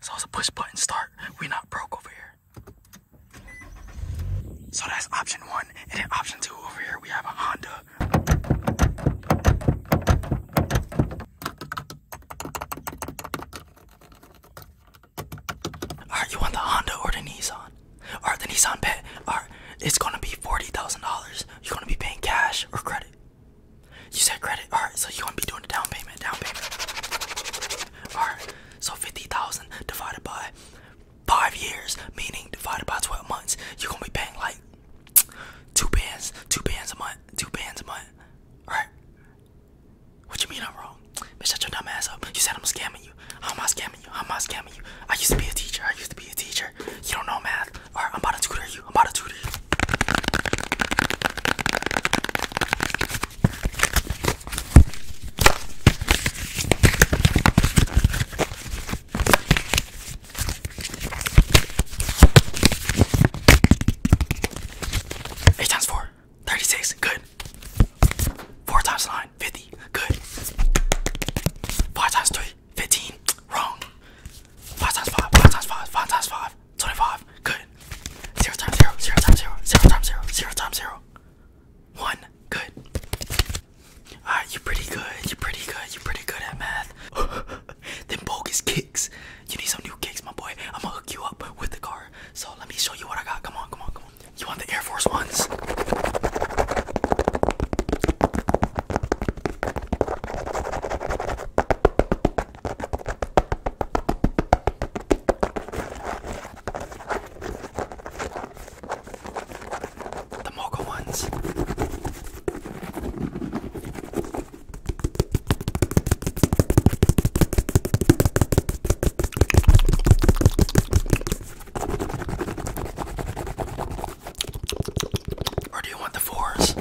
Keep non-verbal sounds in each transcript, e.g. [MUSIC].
So it's a push button start. we not broke over here. So that's option one. And option two over here, we have a Honda. Alright, you want the Honda or the Nissan? Alright, the Nissan pet. Alright, it's gonna be forty thousand dollars. You're gonna be paying cash or credit. You said credit. Alright, so you're gonna be doing the down payment. Down payment. Alright, so fifty thousand divided by five years, meaning divided by twelve months, you're gonna be paying like two bands, two bands a month, two bands a month. Alright. What you mean I'm wrong? Bitch, shut your dumb ass up. You said I'm scamming you. i am not scamming you? i am I scamming you? I used to be a teacher. I used to be a teacher. You don't know math. I'm about to tutor you. I'm about to tutor you. Eight times four. 36, good. 4 times 9, 50, good. 5 times 3, 15, wrong. 5 times 5, 5 times 5, 5 times 5, 25, good. 0 times 0, 0 times 0, 0 times 0, times 0. 1, good. Alright, you're pretty good, you're pretty good, you're pretty good at math. [LAUGHS] Then bogus kicks. You need some new kicks, my boy. I'm gonna hook you up with the card. So let me show you what I got. Come on, come on, come on. You want the Air Force Ones? The mocha ones. Or do you want the fours?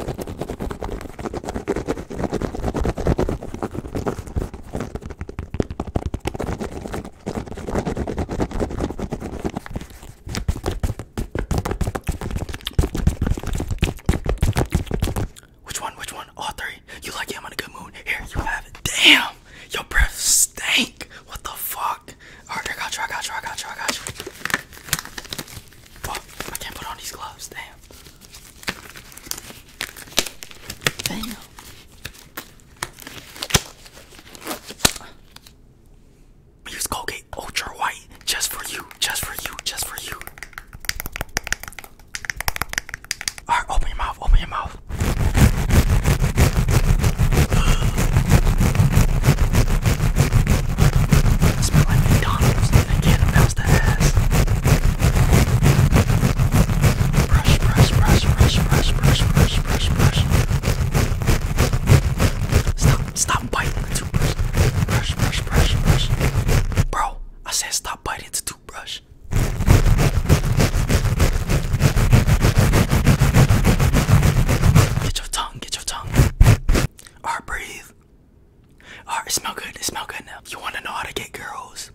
Which one? Which one? All three. You like him on a good moon. Here, you have it. Damn! Your breath stank! What the fuck? Alright, I got you, I got you, I got you, I got you. I can't put on these gloves. Damn. Damn. Use Colgate Ultra White just for you, just for you, just for you. Alright, open your mouth, open your mouth. Smell like McDonald's. I can't the ass. brush, brush, brush, brush, brush, brush, brush, brush. Stop, stop biting the toothbrush. Brush, brush, brush, brush. Bro, I said stop biting the toothbrush. Get your tongue, get your tongue. Alright, breathe. Alright, it smell good, it smell good now. You wanna know how to get girls?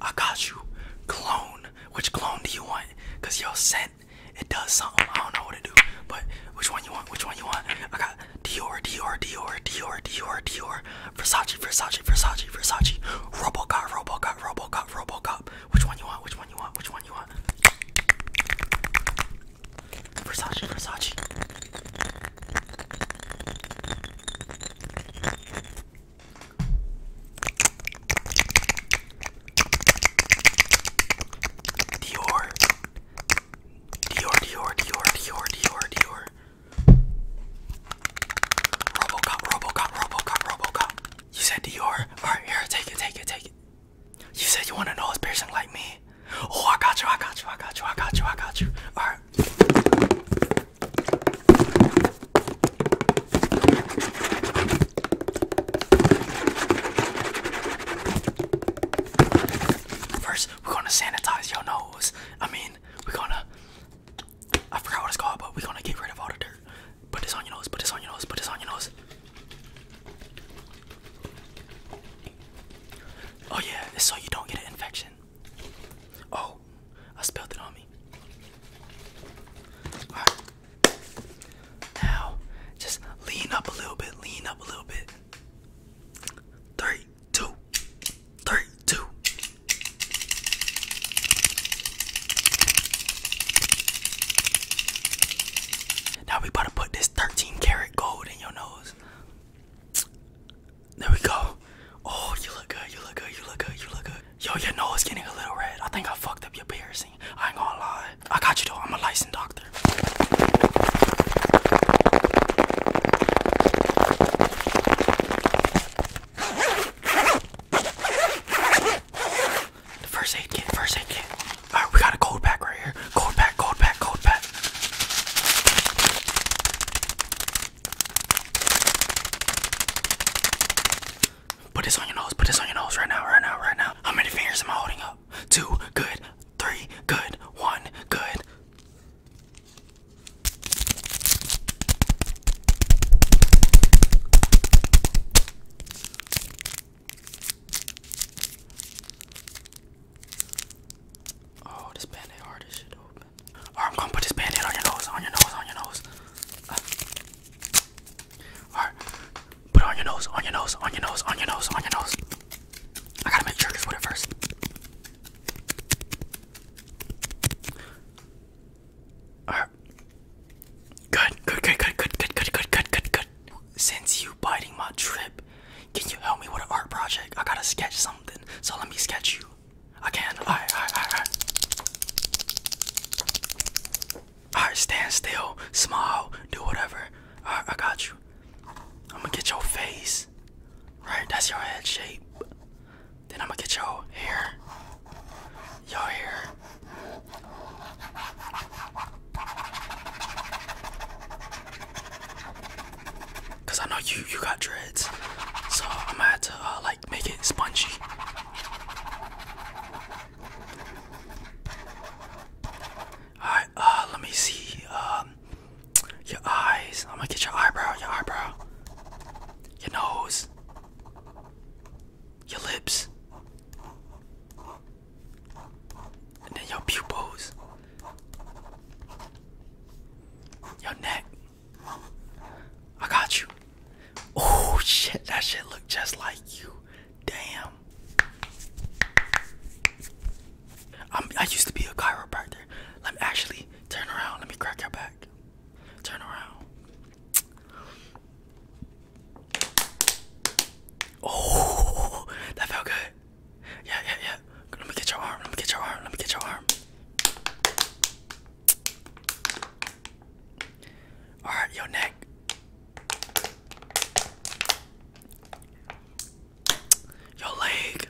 I got you. Clone. Which clone do you want? Cause your scent, it does something. I don't know what to do. But which one you want? Which one you want? I got yeah, Dior, Dior, Dior, Dior, Dior, Dior, Versace, Versace, Versace, Versace, Robocop, Robocop, Robocop, Robocop. Which one you want? Which one you want? Which one you want? Versace, Versace. Dior, Dior, Dior, Dior, Dior, Dior, Dior. Robocop, Robocop, Robocop, Robocop. You said Dior. Alright, here, take it, take it, take it. You said you want to know is piercing like me. Oh, I got you, I got you, I got you, I got you, I got you. Alright. First, we're gonna sanitize your nose. I mean, we're gonna. I forgot what it's called, but we're gonna get rid of all the dirt. Put this on your nose, put this on your nose, put this on your nose. Oh, yeah, it's so you don't get an infection. Oh, I spilled it on me. Now, just lean up a little bit, lean up a little bit. Three, two, three, two. Now we about to put this 13 karat gold in your nose. There we go. Oh, you look good, you look good, you look good, you look good. Yo, your nose getting a little red. I think I fucked up your piercing. I ain't gonna lie. I got you though. I'm a licensed doctor. first aid kit, first aid kit. Alright, we got a cold pack right here. Cold pack, cold pack, cold pack. Put this on your nose. Put this on your nose right now, right now, right now. How many fingers am I holding up? Two. Good. Three. Good. One. Good. Oh, this band hard as shit open. I'm gonna put this band on your nose, on your nose, on your nose. Alright. Put on your nose, on your nose, on your nose, on your nose, on your nose. I gotta make triggers with it first. Alright. Good, good, good, good, good, good, good, good, good, good, Since you biting my trip, can you help me with an art project? I gotta sketch something. So let me sketch you. I can. Alright, alright, alright, alright. Alright, stand still, smile, do whatever. Alright, I got you. I'm gonna get your face. Right, that's your head shape. Then I'm gonna get your hair. Your hair. Cause I know you you got dreads. So I'm gonna have to uh, like make it spongy. Alright, uh, let me see. Um, your eyes. I'm gonna get your eyebrow, your eyebrow, your nose, your lips, and then your pupils, your neck. I got you. Oh shit, that shit look just like you. Damn. I'm, I used to be a chiropractor. Let me actually turn around. Let me crack your back. Turn around. Oh, that felt good. Yeah, yeah, yeah. Let me get your arm. Let me get your arm. Let me get your arm. All right, your neck. Your leg.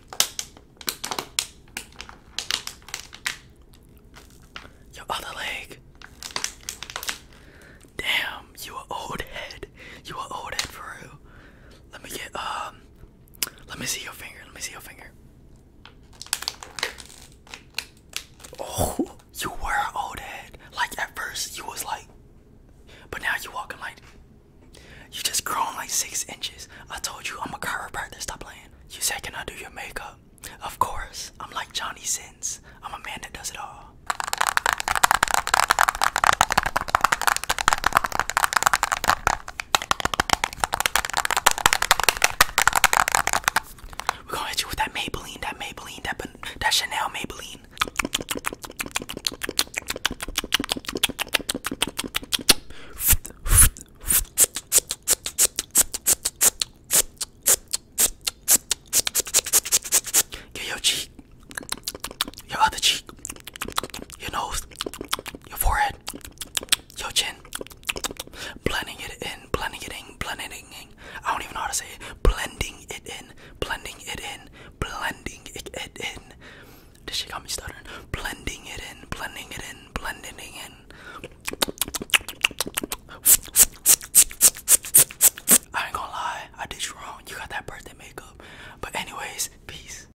Your other leg. Damn, you are old head. You are old head for Let me get um. Let me see your finger. Let me see your finger. Oh, [LAUGHS] you were an old head. Like at first you was like, but now you walking like, you just grown like six inches. I told you I'm a chiropractor. Stop playing. You said can I do your makeup? Of course. I'm like Johnny Sins. I'm a man that does it all. We're gonna hit you with that Maybelline, that Maybelline, that that Chanel Maybelline. your cheek, your other cheek, your nose, your forehead, Yo chin. Blending it in, blending it in, blending it in. I don't even know how to say it. Blending it in, blending it in, blending it, it in. This shit got me stuttering. Blending it in, blending it in, blending it in. I ain't gonna lie, I did you wrong. You got that birthday makeup. But anyways, peace.